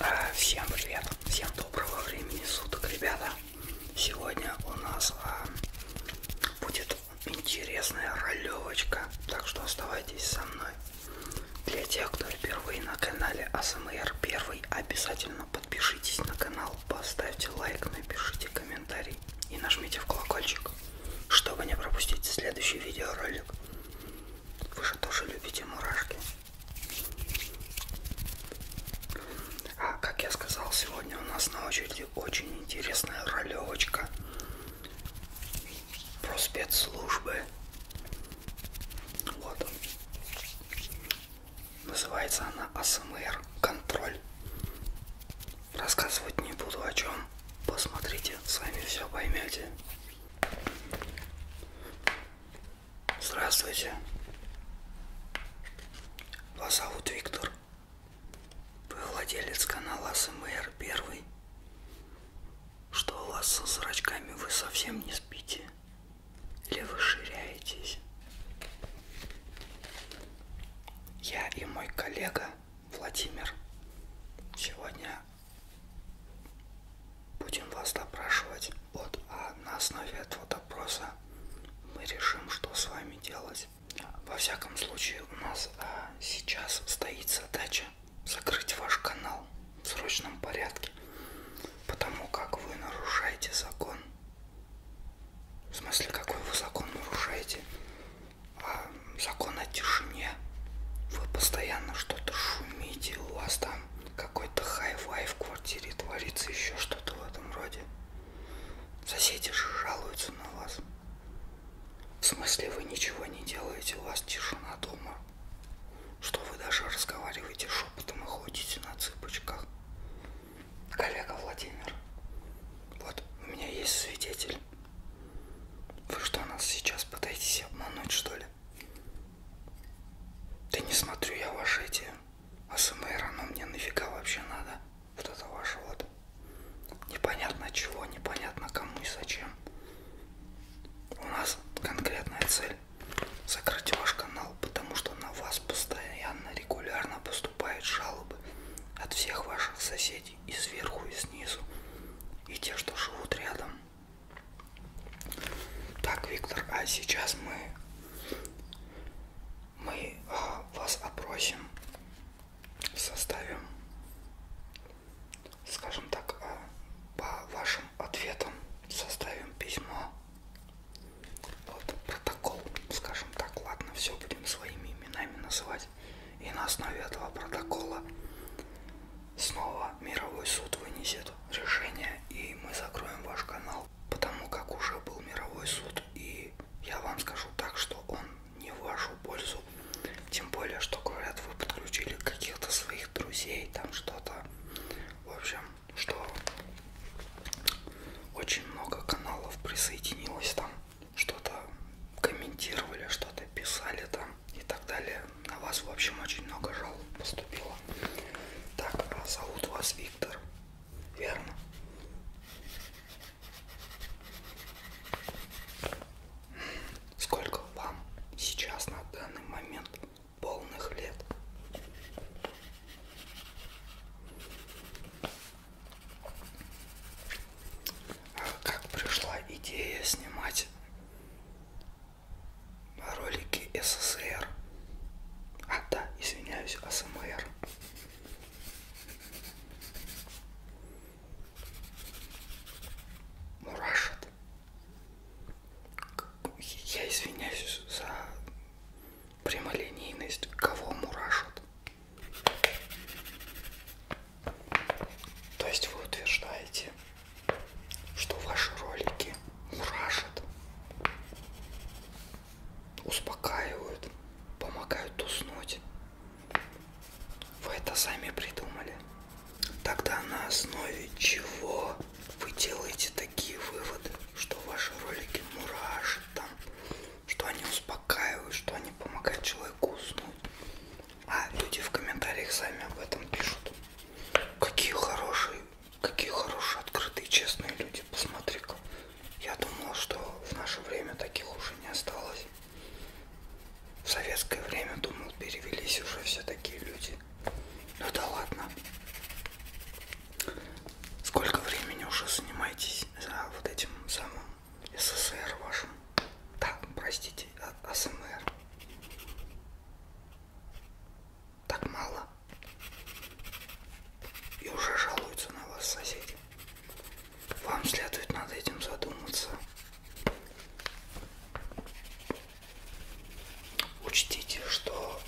А, всем привет, всем доброго времени суток, ребята. Сегодня у нас а, будет интересная ролевочка, так что оставайтесь со мной. Для тех, кто впервые на канале АСМР первый, обязательно подпишитесь на канал, поставьте лайк, напишите комментарий и нажмите в колокольчик чтобы не пропустить следующий видеоролик. Вы же тоже любите мурашки. А, как я сказал, сегодня у нас на очереди очень интересная ролевочка про спецслужбы. Вот он. Называется она АСМР. Контроль. Рассказывать не буду о чем. Посмотрите, сами все поймете. Здравствуйте. Вас зовут Виктор. Вы владелец канала СМР Первый. Что у вас со зрачками? Вы совсем не спите? Или вы ширяетесь? Я и мой коллега Владимир. Сегодня будем вас допрашивать. Вот, а на основе этого допроса мы решим, что с вами делать. Во всяком случае, у нас а, сейчас стоит задача закрыть ваш канал в срочном порядке, потому как вы нарушаете закон. В смысле, какой вы закон нарушаете? закон о тишине. Вы постоянно что-то шумите, у вас там какой-то хай-фай в квартире творится, еще что-то в этом роде. Соседи же жалуются на вас. В смысле вы ничего не делаете, у вас тишина дома. Что вы даже разговариваете шепотом и ходите на цыпочках. Коллега Владимир, вот у меня есть свидетель. Вы что, нас сейчас пытаетесь обмануть, что ли? Да не смотрю я ваши эти АСМР, оно мне нафига вообще надо? Вот это ваше вот. Непонятно чего, непонятно кому и зачем. У нас конкретная цель закрыть ваш канал, потому что на вас постоянно, регулярно поступают жалобы от всех ваших соседей соседей и сверху, и снизу, и те, что живут рядом. Так, Виктор, а сейчас мы, мы а, вас опросим, составим, скажем так, а, по вашим ответам составим письмо. Вот протокол, скажем так, ладно, все будем своими именами называть доказать. И на основе этого протокола снова мировой суд вынесет решение, и мы закроем ваш канал, потому как уже был мировой суд, и я вам скажу так, что он не в вашу пользу. Тем более, что говорят, вы подключили каких-то своих друзей, там что-то. В общем, что очень много каналов присоединилось там что-то комментировали, что-то писали там и так далее. На вас, в общем, очень много жалоб поступило. Так, а зовут вас Виктор, верно? Сколько вам сейчас на данный момент полных лет? как пришла идея снимать ролики СССР. А, да, извиняюсь, АСМР. Мурашит. Я извиняюсь за прямолинейность, кого мурашит. То есть вы утверждаете, что ваши ролики мурашат, успокаивают, помогают уснуть. Вы это сами придумали. Тогда на основе чего вы делаете такие выводы, что ваши ролики мурашат там, что они успокаивают, что они помогают человеку уснуть? А люди в комментариях сами об этом пишут. Какие хорошие, какие хорошие, открытые, честные люди. Посмотри-ка. Я думал, что в наше время таких уже не осталось. В советское время, думал, перевелись уже все такие люди. Ну да ладно. Сколько времени уже занимаетесь за вот этим самым СССР вашем. Да, простите, а АСМР. Так мало. И уже жалуются на вас соседи. Вам следует над этим задуматься. Учтите, что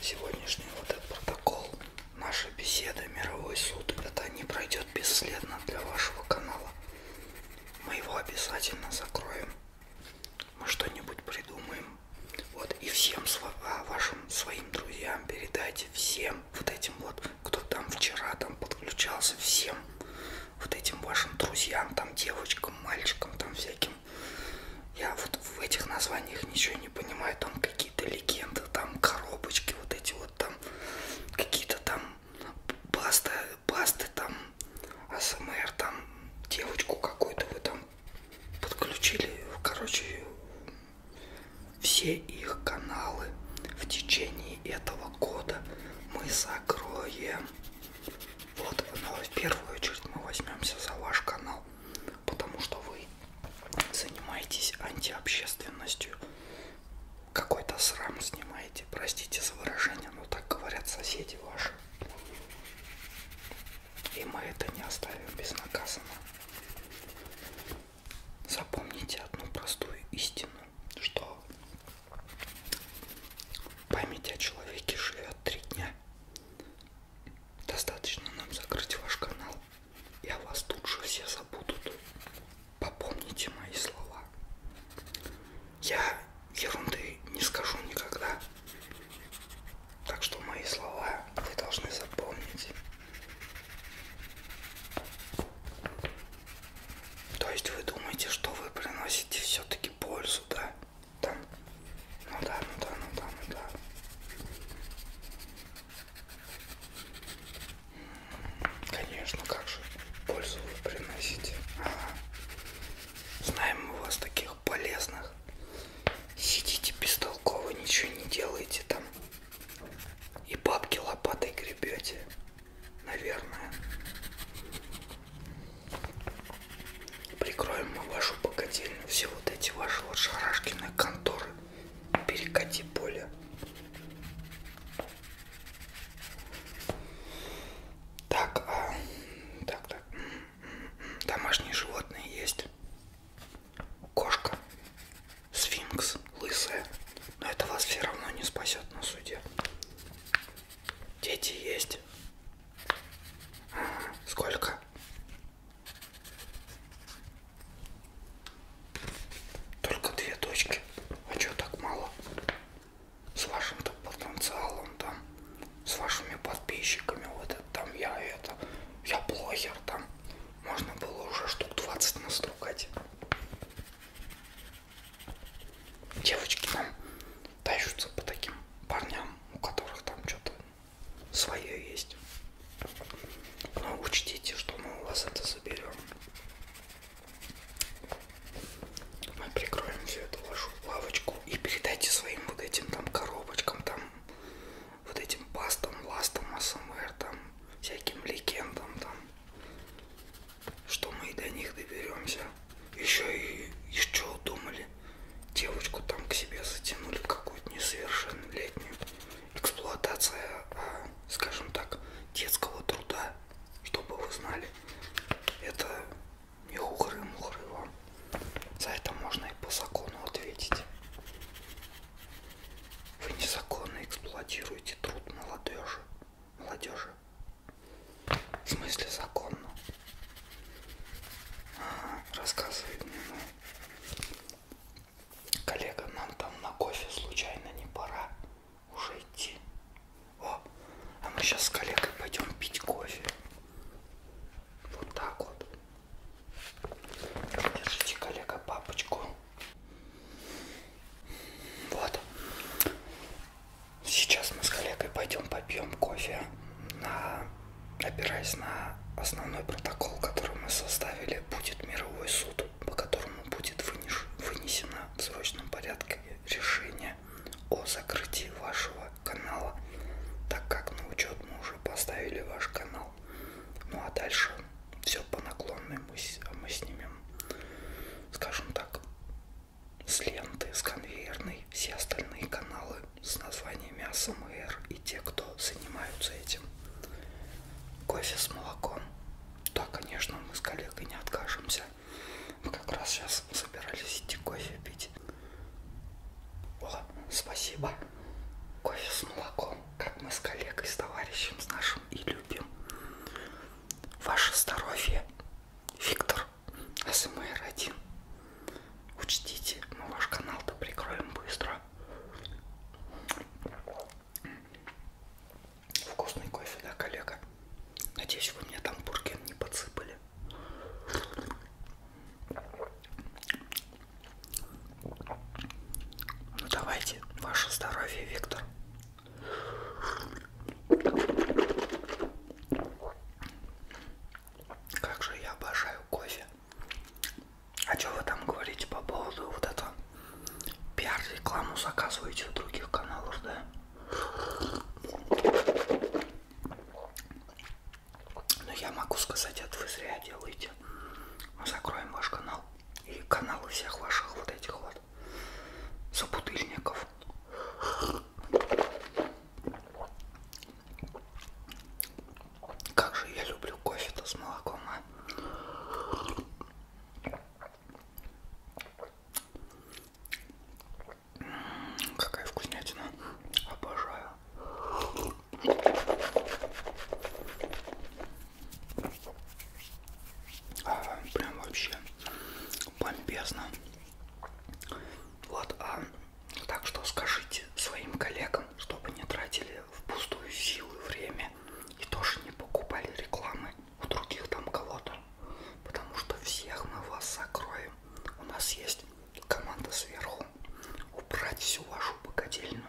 сегодняшний вот этот протокол, наша беседа, мировой суд, это не пройдет бесследно для вашего канала. Мы его обязательно закроем. Мы что-нибудь придумаем. Вот, и всем сво а, вашим своим друзьям передайте, всем вот этим вот, кто там вчера там подключался, всем вот этим вашим друзьям, там девочкам, мальчикам, там всяким. Я вот в этих названиях ничего не понимаю, там какие-то легенды, там коробочки, вот эти вот там, какие-то там паста, пасты там, АСМР там, девочку какую-то вы там подключили. Короче, все их каналы в течение этого года мы закроем. Вот, но ну, в первую очередь мы возьмемся за ваш канал, потому что вы занимаетесь антиобщественностью какой-то срам снимаете, простите за выражение, но так говорят соседи ваши. И мы это не оставим безнаказанно. Запомните одну простую истину, что память о человеке живет три дня. Достаточно нам закрыть ваш канал, и о вас тут же все забудут. Попомните мои слова. Я ерунды не скажу никогда. Так что мои слова вы должны запомнить. То есть вы думаете, что вы приносите все-таки пользу, да? Там. Ну да, ну да, ну да, ну да. Конечно, как же пользу вы приносите. Ага. Знаем мы вас таких полезных. Сидите бестолково, ничего не делаете там. И бабки лопатой гребете. Наверное. Прикроем мы вашу богадельню. Все вот эти ваши вот шарашкины конторы. Перекати поле. Так, а, так, так. Домашние животные есть. Кошка, сфинкс, лысая. Но это вас все равно не спасет на суде. Дети есть. Сколько? Только две точки. А чё так мало? С вашим-то потенциалом там, с вашими подписчиками, вот это там, я это, я блогер там. Можно было уже штук 20 настругать. Девочки там тащутся по таким парням, у которых там что-то свое есть. Но ну, учтите, что мы у вас это заберем. Мы прикроем всю эту вашу лавочку и передайте своим вот этим там коробочкам, там вот этим пастам, ластам, АСМР, там всяким легендам там, что мы и до них доберемся. Еще и еще думали, девочку там к себе затянули какую-то несовершеннолетнюю. Эксплуатация, а, скажем так, детского труда чтобы вы знали. Это не хухры-мухры вам. За это можно и по закону ответить. Вы незаконно эксплуатируете труд молодежи. Молодежи. В смысле законно? А, рассказывает мне ну, коллега, нам там на кофе случайно не пора уже идти. О, а мы сейчас с коллегой пойдем пить кофе. Вот так вот. Держите, коллега, папочку. Вот. Сейчас мы с коллегой пойдем попьем кофе, на... опираясь на основной протокол, который мы составили, будет мировой суд по которому будет вынесено в срочном порядке решение о закрытии вашего канала, так как на учет мы уже поставили ваш канал. Ну а дальше все по наклонной мы, мы снимем, скажем так, с ленты, с конвейерной, все остальные каналы с названиями АСМР и те, кто занимаются этим. Кофе с молоком. Да, конечно, мы с коллегой не откажемся. Мы как раз сейчас собирались идти кофе пить. О, спасибо. Кофе с молоком, как мы с коллегой, с товарищем, с нашим и любим. Ваше здоровье, Виктор, СМР-1. Учтите, мы ваш канал-то прикроем быстро. Вкусный кофе, да, коллега? Надеюсь, вы мне там бурген не подсыпали. Ну давайте, ваше здоровье, Виктор. Как же я обожаю кофе. А что вы там говорите по поводу вот этого пиар-рекламу заказываете у других каналов, да? Но ну, я могу сказать, это вы зря делаете. Мы закроем ваш канал и каналы всех ваших вот этих вот собутыльников. Как же я люблю кофе-то с молоком, а? Какая вкуснятина. Обожаю. А, прям вообще бомбезно. Вот, а так что скажите своим коллегам, чтобы не тратили впустую силы, время и тоже не покупали рекламы у других там кого-то. Потому что всех мы вас закроем. У нас есть команда сверху. Убрать всю вашу богадельню,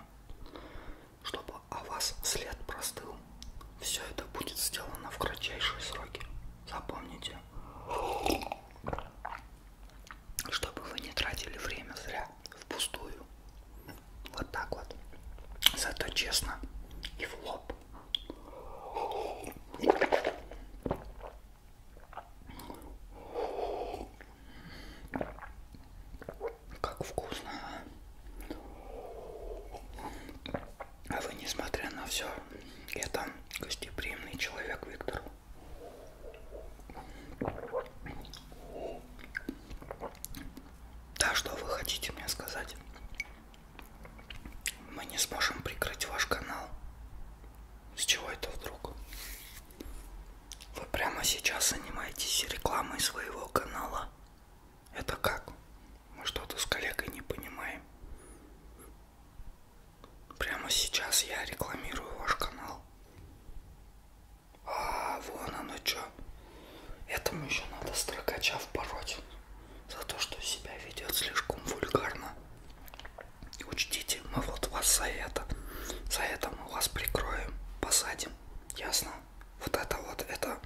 чтобы о вас след простыл. Все это будет сделано в кратчайшие сроки. Запомните. Чтобы вы не тратили время зря, впустую. Вот так вот. Зато честно и в лоб. Как вкусно. А вы, несмотря на все, это гостеприимный человек, Виктор. Да, что вы хотите мне сказать? Мы не сможем прикрыть ваш канал. С чего это вдруг? Вы прямо сейчас занимаетесь рекламой своего канала. Это как? Мы что-то с коллегой не понимаем. Прямо сейчас я рекламирую ваш канал. А, вон оно что. Этому еще надо строкача впороть за то, что себя ведет слишком вульгарно. Учтите, мы вот вас за это, за это мы вас прикроем, посадим, ясно? Вот это вот, это,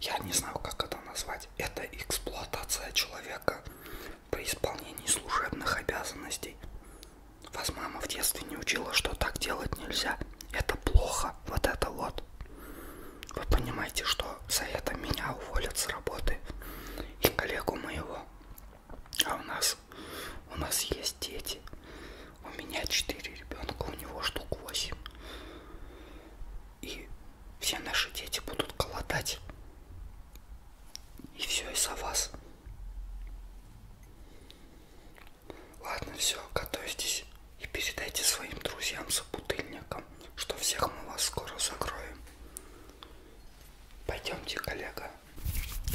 я не знаю, как это назвать, это эксплуатация человека при исполнении служебных обязанностей. Вас мама в детстве не учила, что так делать нельзя. Это плохо, вот это вот. Вы понимаете, что за это меня уволят с работы и коллегу моего. А у нас, у нас есть дети. У меня 4 ребенка, у него штук 8. И все наши дети будут голодать. И все из-за вас. Ладно, все, готовьтесь. И передайте своим друзьям-собутыльникам, что всех мы вас скоро закроем. Пойдемте, коллега.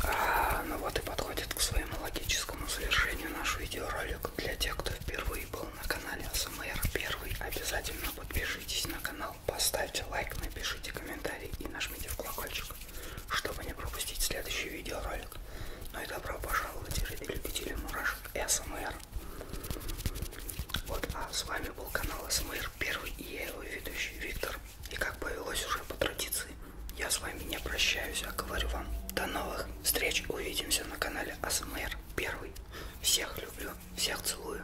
А, ну вот и подходит к своему логическому завершению наш видеоролик. Для тех, кто впервые был на канале СМР Первый, обязательно подпишитесь на канал, поставьте лайк, напишите комментарий и нажмите в колокольчик, чтобы не пропустить следующий видеоролик. Ну и добро пожаловать, любители мурашек СМР. Дар. Вот, а с вами был канал СМР Первый и я его ведущий Виктор. И как повелось уже по традиции, я с вами не прощаюсь, а говорю вам до новых встреч. Увидимся на канале АСМР Первый. Всех люблю, всех целую.